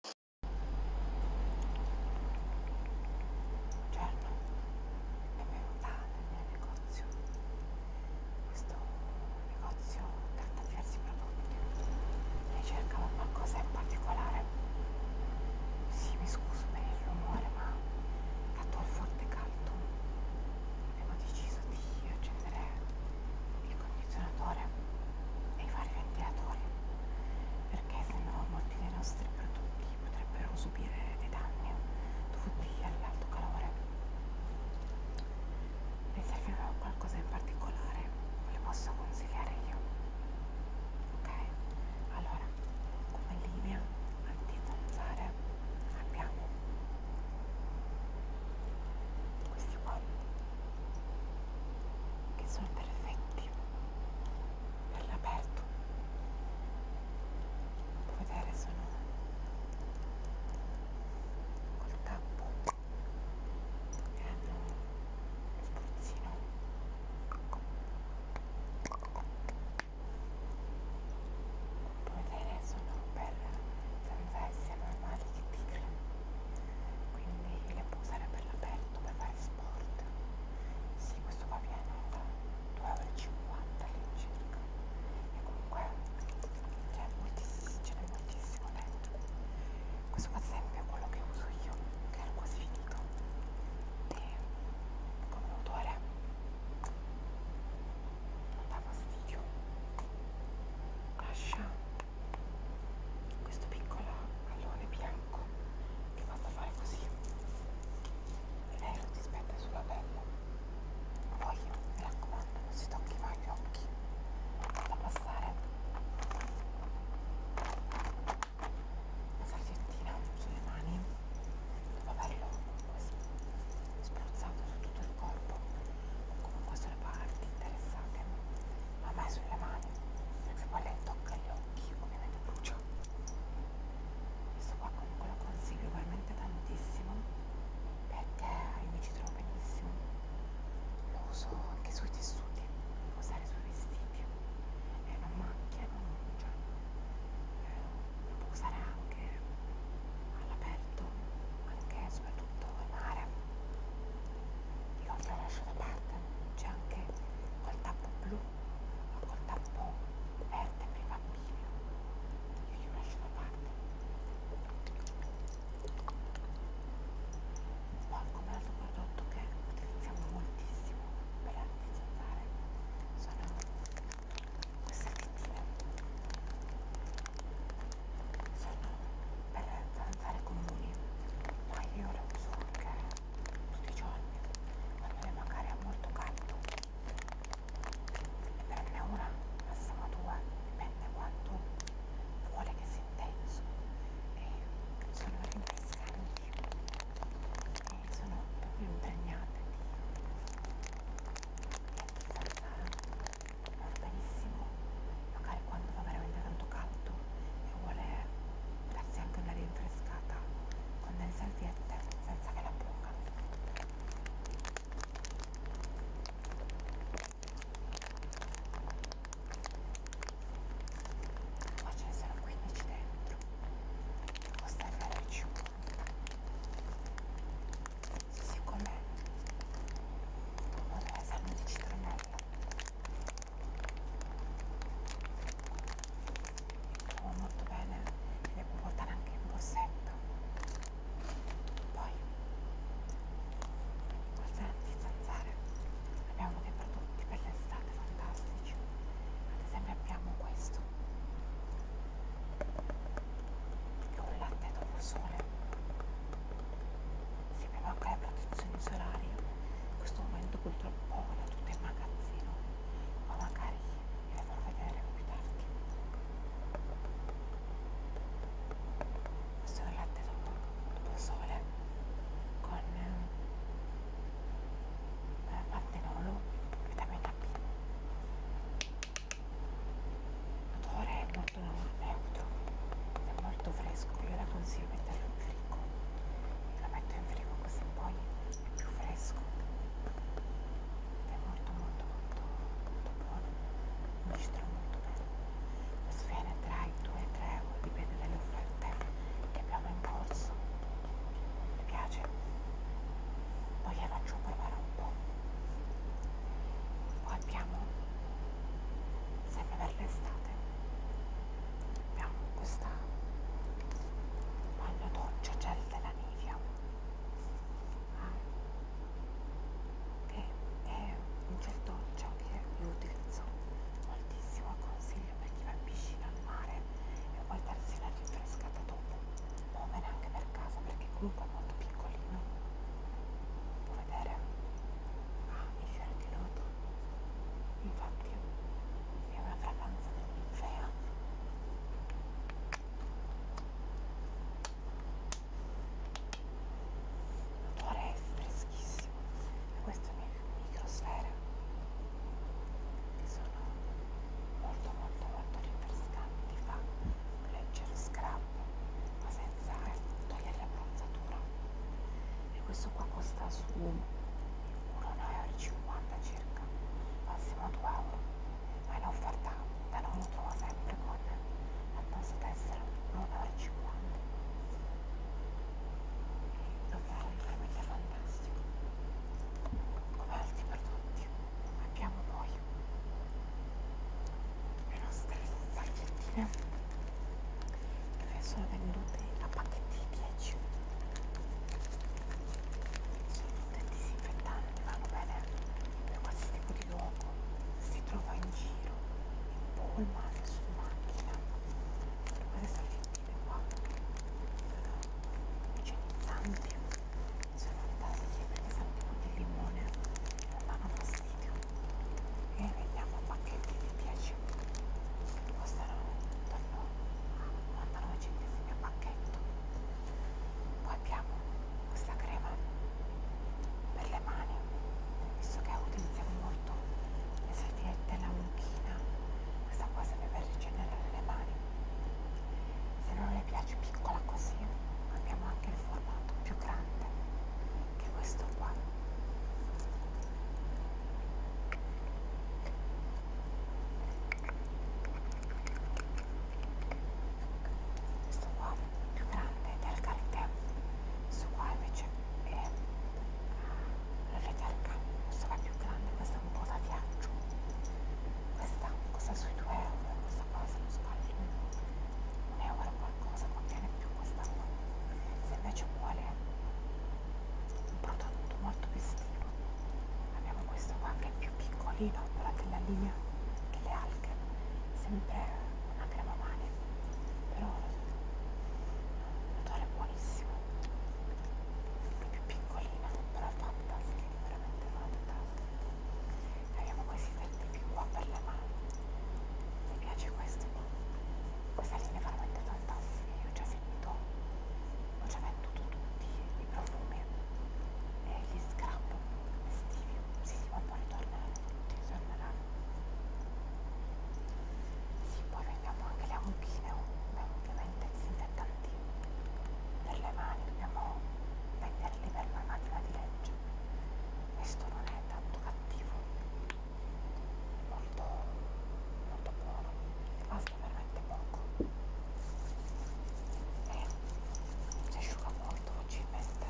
un giorno certo. è venuta nel mio negozio questo negozio tratta diversi prodotti lei cercava qualcosa in particolare sì mi scuso per il rumore ma dato il forte caldo abbiamo deciso di accendere il condizionatore e i vari ventilatori perché se no molti dei nostri prodotti potrebbero subire dei danni dovuti all'alto calore vi serviva qualcosa in particolare ve lo posso consigliare io ok allora come linea antizanzare abbiamo questi qua che sono perfetti per l'aperto potete vedere sono col tappo e hanno lo spruzzino come vedere sono belle senza essere normali che tigre quindi le può usare per l'aperto per fare sport sì questo qua viene da 2,50 euro all'incirca e comunque c'è cioè, moltissimo, ce n'è moltissimo dentro questo qua ad esempio è quello che uso io che era quasi finito e come odore non dà fastidio lascia questo piccolo pallone bianco che basta fare così e lei lo si spetta sulla pelle poi mi raccomando non si tocchi mai gli occhi basta passare una salviettina sulle mani dopo averlo spruzzato su tutto il corpo o comunque sulle parti interessate ma mai sulle mani se poi lei tocca gli occhi ovviamente brucia questo qua comunque lo consiglio veramente tantissimo perché io mi ci trovo benissimo lo uso anche sui tessuti usare sui vestiti e non macchia non cioè, eh, lo può usare anche all'aperto anche super tutto il mare io ho il flash da parte c'è anche col tappo blu o col tappo verde per i bambini io li lascio da parte poi come altro prodotto che utilizziamo moltissimo per anticipare sono queste pittine sono per zanzare comuni ma io le uso anche tutti i giorni quando magari è molto caldo ne prende una massimo due dipende quanto vuole che sia intenso e sono rinfrescanti e sono proprio impregnate di, di zanzara va benissimo magari quando fa veramente tanto caldo e vuole darsi anche una rinfrescata con delle salviette senza che la buca qua ce ne sono 15 dentro costa il siccome sì, come pomodoro e salmo di citronella mi trovo molto bene e le può portare anche in borsetto poi queste zanzare abbiamo dei prodotti per l'estate fantastici ad esempio abbiamo questo che è un latte dopo sole serviva anche la protezione solare in questo momento purtroppo la tutte in magazzino ma magari ve la farò vedere più tardi questo è un latte sotto al sole con eh, pantenolo vitamina B odore prodotto da un euro è molto fresco io la consiglio di metterlo in frigo la metto in frigo così poi è più fresco è molto molto molto molto buono mi ci trovo molto bene questo viene tra i 2 e i 3 euro dipende dalle offerte che abbiamo in corso mi piace poi la faccio preparare un po' poi abbiamo sempre per l'estate abbiamo questa bagno doccia gel della Nivea che ah. è un gel doccia che io utilizzo moltissimo consiglio per chi va in piscina al mare e vuoi darsi una rinfrescata dopo va bene anche per casa perché comunque è molto piccolino può vedere Ah, mi si è anche noto. Infatti è una fragranza dell'infea. L'odore è freschissimo. E queste microsfere che sono molto molto molto rinfrescanti. Fa un leggero scrub, ma senza pensare togliere l'abbronzatura e questo qua costa su 1,50€ circa massimo 2 euro ma è un'offerta da noi lo trovo sempre con la tassa tessera 1,50€ davvero veramente fantastico come altri prodotti abbiamo poi le nostre salviettine ne sono venduti a pacchetti 10 sono dei disinfettanti vanno bene per qualsiasi tipo di luogo si trova in giro in pullman su macchina queste salviettine qua sono igienizzanti sono le tasche perché sanno tipo di limone la mano video e vediamo qua che vi piace costeranno intorno a 99 centesimi a pacchetto poi abbiamo questa crema per le mani visto che utilizziamo molto le salviette e la mucchina questa qua serve per rigenerare le mani se non le piace piccola così abbiamo anche il formato più grande che è questo qua questo qua più grande del cartel questo qua invece è ah, la fetelca questo qua è più grande questo è un po' da viaggio questa costa sui 2 euro questa qua se non sbaglio euro qualcosa contiene più quest'anno se invece vuole un prodotto molto più estivo abbiamo questo qua che è più piccolino però della linea delle alghe sempre una crema male però un odore buonissimo più piccolina però fantastica veramente fantastica abbiamo questi tecnici qua per le mani mi piace questo questa linea è veramente fantastica io ho già finito ho già venduto tutti i profumi e gli scrap estivi si sì, sì, ma poi ritorneranno tutti ritorneranno sì, poi vendiamo anche le ammuchine oh. beh, ovviamente disinfettanti per le mani dobbiamo venderli per la macchina di legge questo non è tanto cattivo molto, molto buono costa veramente poco e si asciuga molto facilmente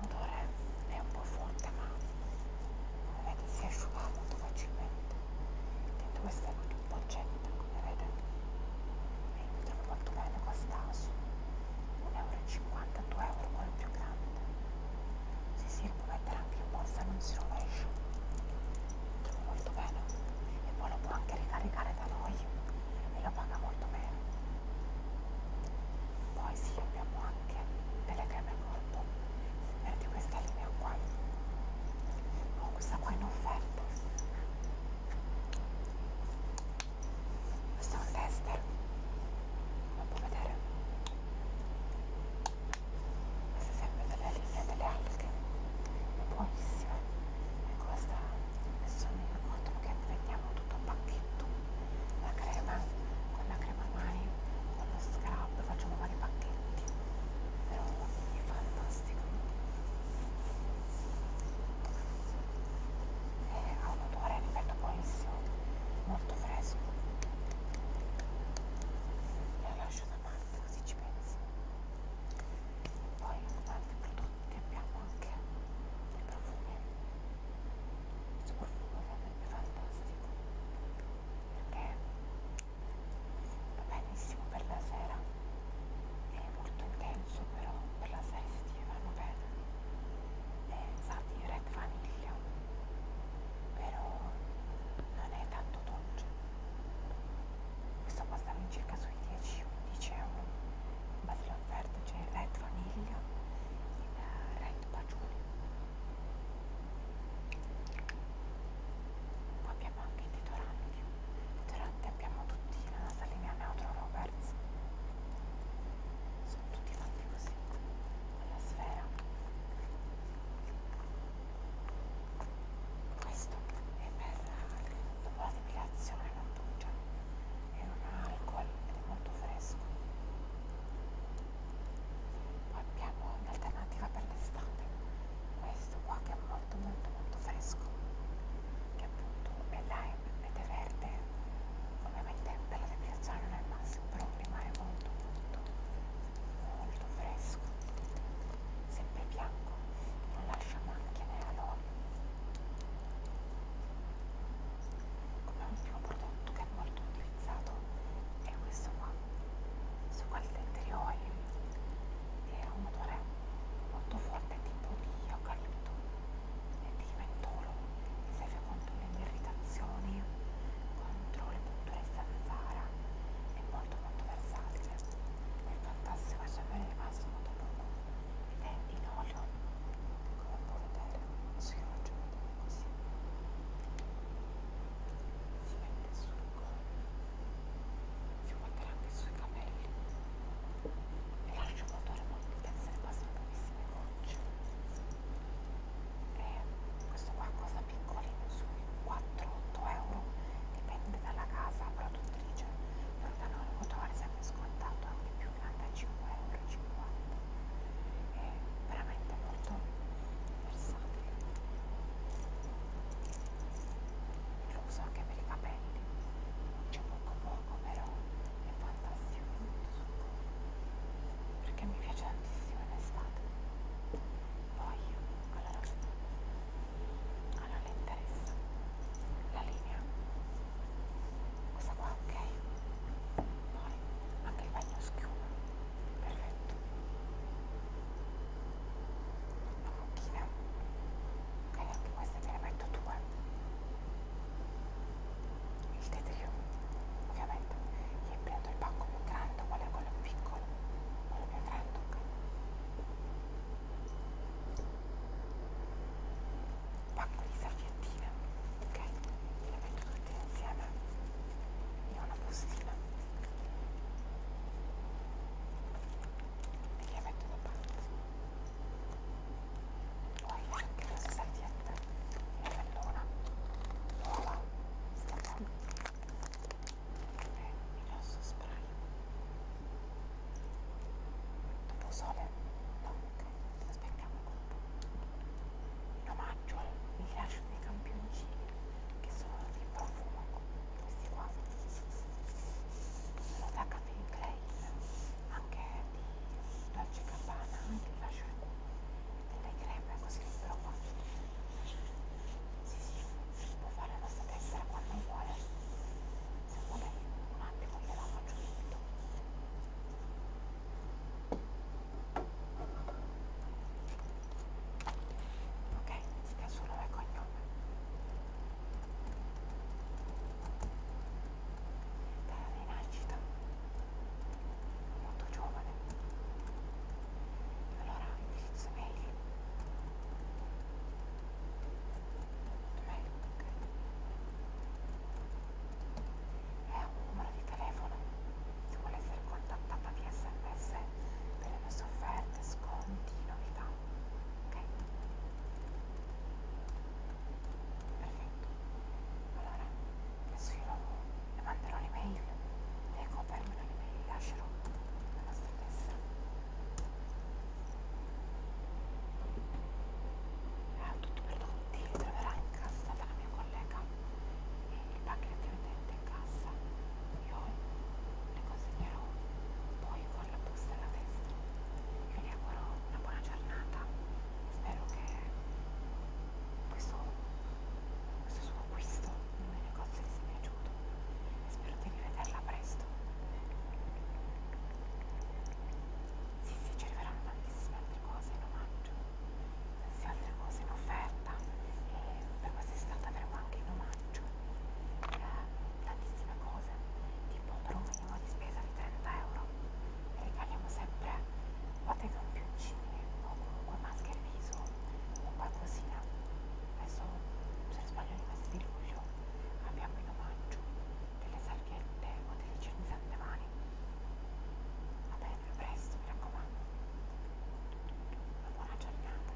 l'odore è un po' forte ma come vedete si asciuga molto facilmente dentro questa boccetta come vedete vendita molto bene quest'asso 1,50 euro 2 euro quello più grande si si può mettere anche in borsa non si rovescia trovo molto bene e poi lo può anche ricaricare da noi e lo paga molto bene poi sì abbiamo anche delle creme al corpo vedi questa linea qua ho oh, questa qua in offerta questo è un tester lo può vedere queste sempre delle linee delle alghe buonissime e questa adesso mi ricordo che prendiamo tutto un pacchetto la crema con la crema mani con lo scrub facciamo vari pacchetti però è fantastico e eh, ha un odore, ripeto, buonissimo, molto fresco. La lascio da parte così ci penso. Poi con altri prodotti abbiamo anche dei profumi. Questo profumo ovviamente è fantastico perché va benissimo per la sera, è molto intenso penso però per la serie estiva vanno bene e eh, sa di red vaniglia però non è tanto dolce questo costa all'incirca sui 10-11 euro in base all'offerta c'è il red vaniglia il eh, red patchouli poi abbiamo anche i deodoranti deodoranti abbiamo tutti la nostra linea Neutro Roberts sono tutti fatti così alla sfera questo è per dopo la depilazione non brucia è un alcol ed è molto fresco poi abbiamo un'alternativa per l'estate questo qua che è molto molto molto fresco che appunto è lime ed è verde ovviamente per la depilazione non è il massimo però rimane molto molto molto fresco sempre bianco non lascia macchie nell'olio come ultimo prodotto che è molto utilizzato è questo qua su quel Oil che è un odore molto forte tipo di eucalipto e di mentolo serve contro le irritazioni, contro le punture zanzara, è molto molto versatile, il fantastico è sempre rimasto molto poco ed è in olio, come puoi vedere, si faccio vedere così, si mette sul collo, si può mettere anche sui capelli e lascio un odore molto intenso e quasi pochissime gocce e questo qua costa piccolino sui 4-8 euro dipende dalla casa produttrice però da noi il motore sempre scontato anche più 95 euro 50 è veramente molto versatile lo uso anche per i capelli c'è poco poco però è fantastico perché mi piace tantissimo in estate poi alla rossa ah non le interessa la linea questa qua ok poi anche il bagno schiuma perfetto la bocchina ok anche queste te ne metto due il tetrio ovviamente gli è preso il banco più grande qual è quello più piccolo quello più grande ok pacco di serviettine ok le metto tutte insieme in una bustina e le metto da parte poi anche la servietta nell'ora nuova stata e il rosso spray dopo sole no ok aspettiamo un po' in omaggio al rilascio dei campioncini che sono di profumo questi qua sono da Caffè Klein anche di Dolce Gabbana anche il fascio delle creme così libero qua sì sì può fare la nostra tessera quando vuole se vuole un attimo gliela faccio subito ok si dà solo il cognome dalla rinascita molto giovane allora indirizzo mail mail ok è un numero di telefono se vuole essere contattata via sms per le nostre offerte sconti novità ok perfetto allora adesso io lo, le manderò l'email le confermo l'email e lascerò la nostra tessera ha ah, tutto prodotti li troverà in cassa dalla mia collega e il pacchetto è in cassa io le consegnerò poi con la busta alla testa. Io vi auguro una buona giornata, spero che questo, questo suo acquisto nel mio negozio vi sia piaciuto e spero di rivederla presto. Sì, sì, ci arriveranno tantissime altre cose in omaggio, tantissime altre cose in offerta e per quest'estate avremo anche in omaggio eh, tantissime cose tipo promemoria minimo di spesa di 30 euro e regaliamo sempre o dei campioncini o comunque maschere viso o qualcosina adesso se non sbaglio il mese di luglio abbiamo in omaggio delle salviette o delle cernizante mani va bene, a presto, mi raccomando una buona giornata